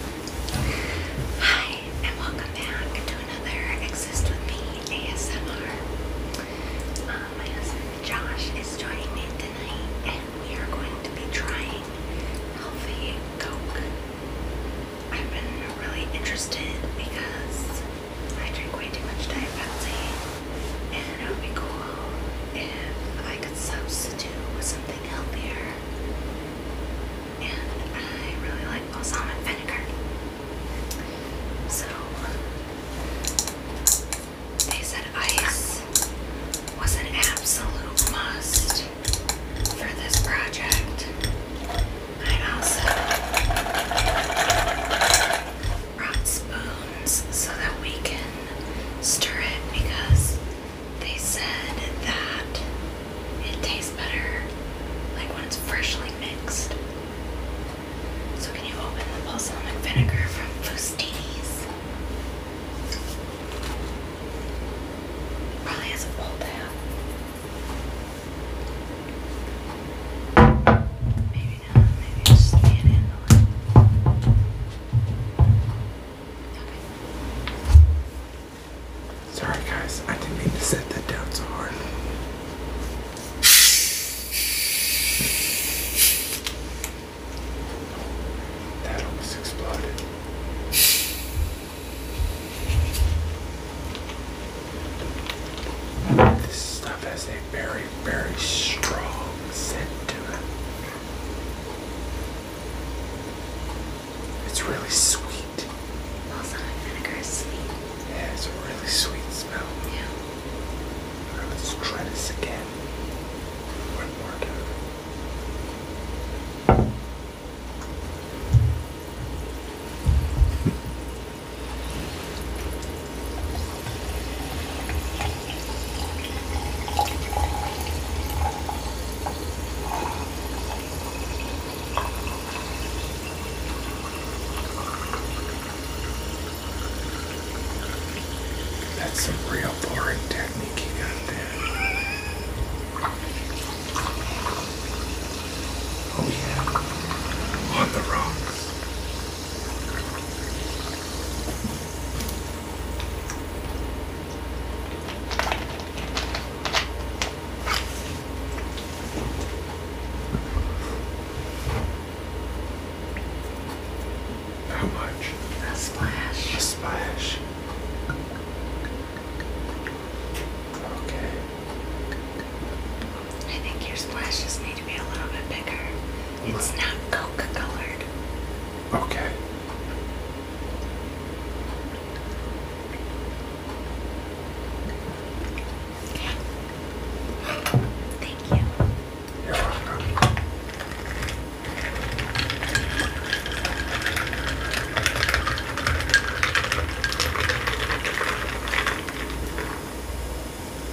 Hi, and welcome back to another Exist With Me ASMR. Uh, my husband Josh is joining me tonight, and we are going to be trying healthy Coke. I've been really interested because I drink way too much Diet Pepsi, and it would be cool if I could substitute with something healthier. And I really like balsamic vinegar. So, they said ice was an absolute must for this project. I also brought spoons so that we can stir it because they said that it tastes better like when it's freshly mixed. So can you open the balsamic vinegar from Fustini's? Probably has a bowl down. Sorry, guys. I didn't mean to set that down so hard. That almost exploded. This stuff has a very, very strong scent to it. It's really sweet. Balsamic vinegar is sweet. Yeah, it's a really sweet smell. Yeah. let's try this again. One more time. That's some real boring technique you got there. Oh yeah, on the rocks. How much? A splash. A splash. Okay. I think your splashes need to be a little bit bigger. It's not coke colored. Okay. Thank you.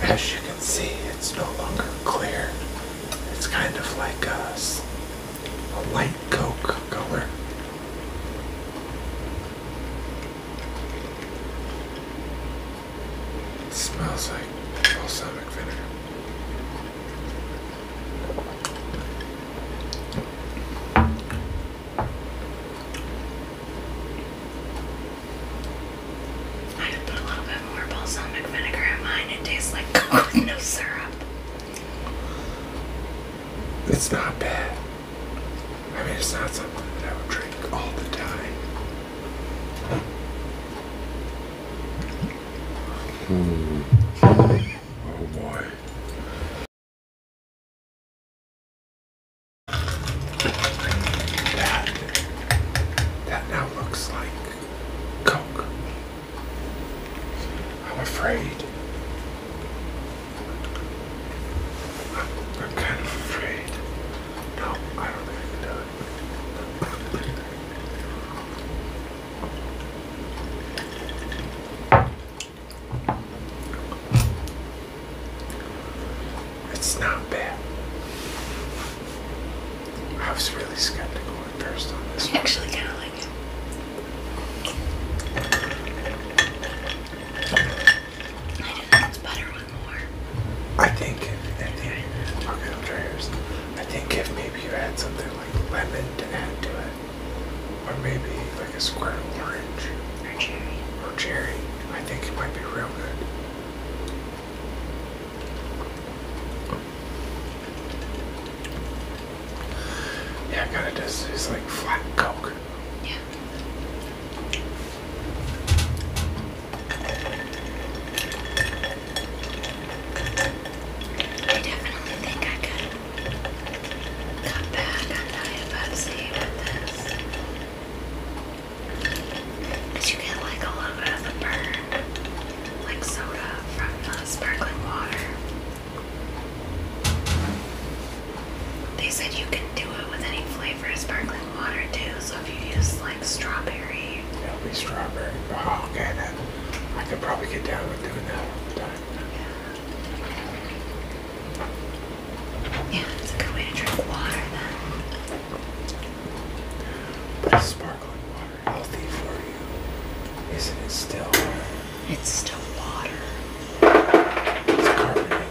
As you can see, it's no longer clear. It's kind of like a, a light coke color. smells like balsamic vinegar. I put a little bit more balsamic vinegar in mine. It tastes like no syrup. It's not bad. I mean, it's not something that I would drink all the time. Hmm. Oh boy. That, that now looks like Coke. I'm afraid. I'm, kind of afraid. No, I don't think I it's not bad. I was really skeptical at first on this. I actually kind of like it. I do think it's better with more. I think, if, maybe you add something like lemon to add to it, or maybe like a square orange. Or cherry. Or cherry. I think it might be real good. Yeah, I gotta it's like flat Coke. Yeah. I definitely think I could come back. I'm not with this. you get like a little bit of a burn, like soda from the sparkling water. They said you can do it with any flavor of sparkling water too, so if you use like strawberry. It'll be strawberry. Oh, okay then. I could probably get down with doing that all the time. Yeah, it's a good way to drink water But sparkling water healthy for you? Isn't it still? It's still water. It's carbonated.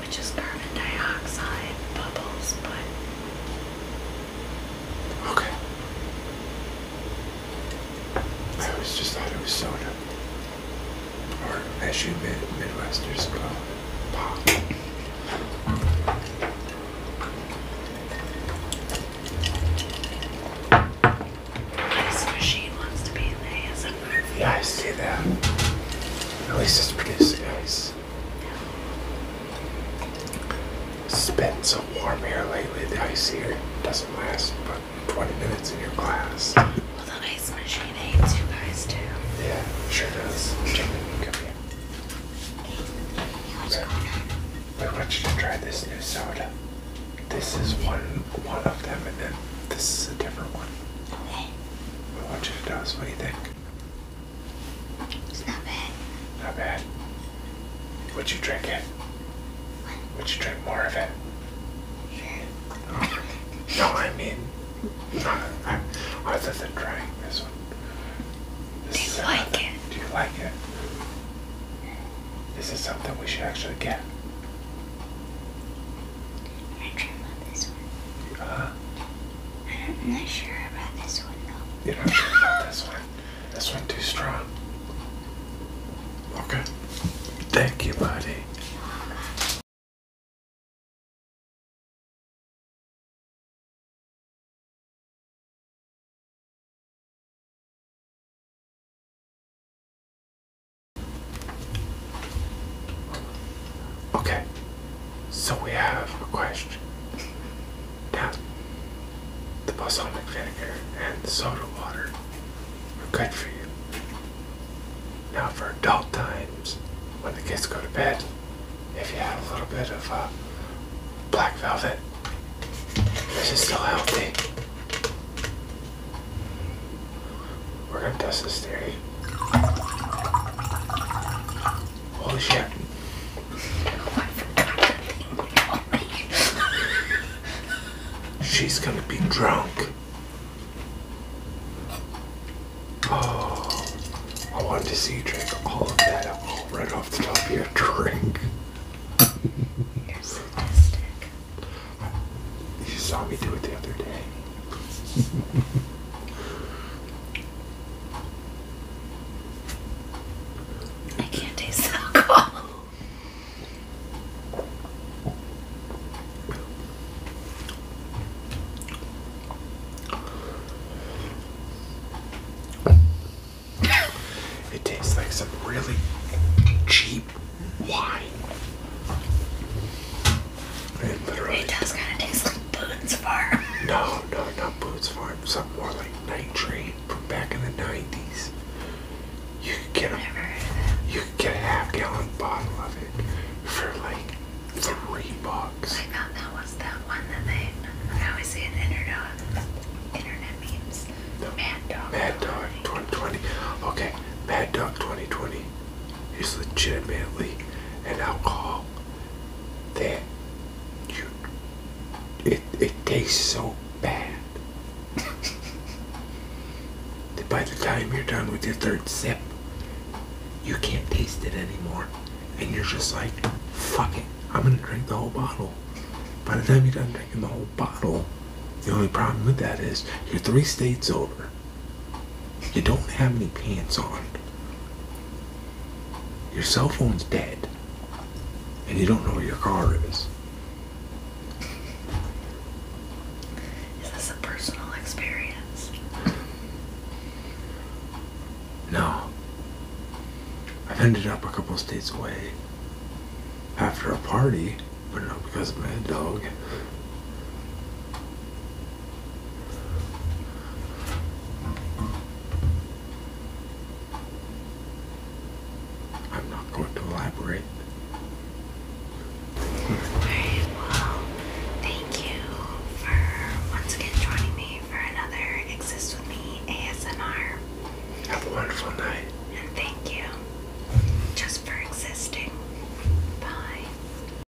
Which is carbon dioxide bubbles, but Okay. I always just thought it was soda. Or as you mid Midwesters call it, pop. Ice machine wants to be in Yeah, I see that. At least it's producing ice. It's been so warm here lately. The ice here doesn't last but 20 minutes in your glass. Well, the ice machine hates you guys too. Yeah, sure does. Jamie, I want you to try this new soda. This is one one of them, and then this is a different one. Okay. What I want you to tell us what do you think. It's not bad. Not bad. Would you drink it? Would you drink more of it? Sure. Oh. no, I mean, I, other than drink. this one. do you like it? Do you like it? This is something we should actually get. I dream this one. Uh, I'm not sure about this one though. You're not sure this one. That's one too strong. Okay. Thank you, buddy. Okay. So we have a question. Now, the balsamic vinegar and the soda water are good for you. Now, for adult times, when the kids go to bed, if you have a little bit of uh, black velvet, this is still healthy. We're gonna test this theory. Holy oh, shit. She's gonna be drunk. Oh, I wanted to see you drink all of that alcohol right off the top of your drink. You're sadistic. You saw me do it the other day. I can't taste alcohol. it tastes like some really cheap wine. It, it No, no, not Boots Farm. Something more like Night Train from back in the 90s. You could get a, you could get a half gallon bottle of it for like three bucks. I thought that was that one that they, I always see in internet, internet memes. No. Mad Dog. Mad Dog 2020. Okay, bad Dog 2020 is legitimately an alcohol that you it it tastes so bad that by the time you're done with your third sip, you can't taste it anymore, and you're just like, fuck it, I'm gonna drink the whole bottle. By the time you're done drinking the whole bottle, the only problem with that is you're three states over. You don't have any pants on. Your cell phone's dead. And you don't know where your car is. Is this a personal experience? No. I've ended up a couple states away after a party, but not because of my Dog. I'm not going to elaborate. Alright, well, thank you for once again joining me for another Exist With Me ASMR. Have a wonderful night. And thank you just for existing. Bye.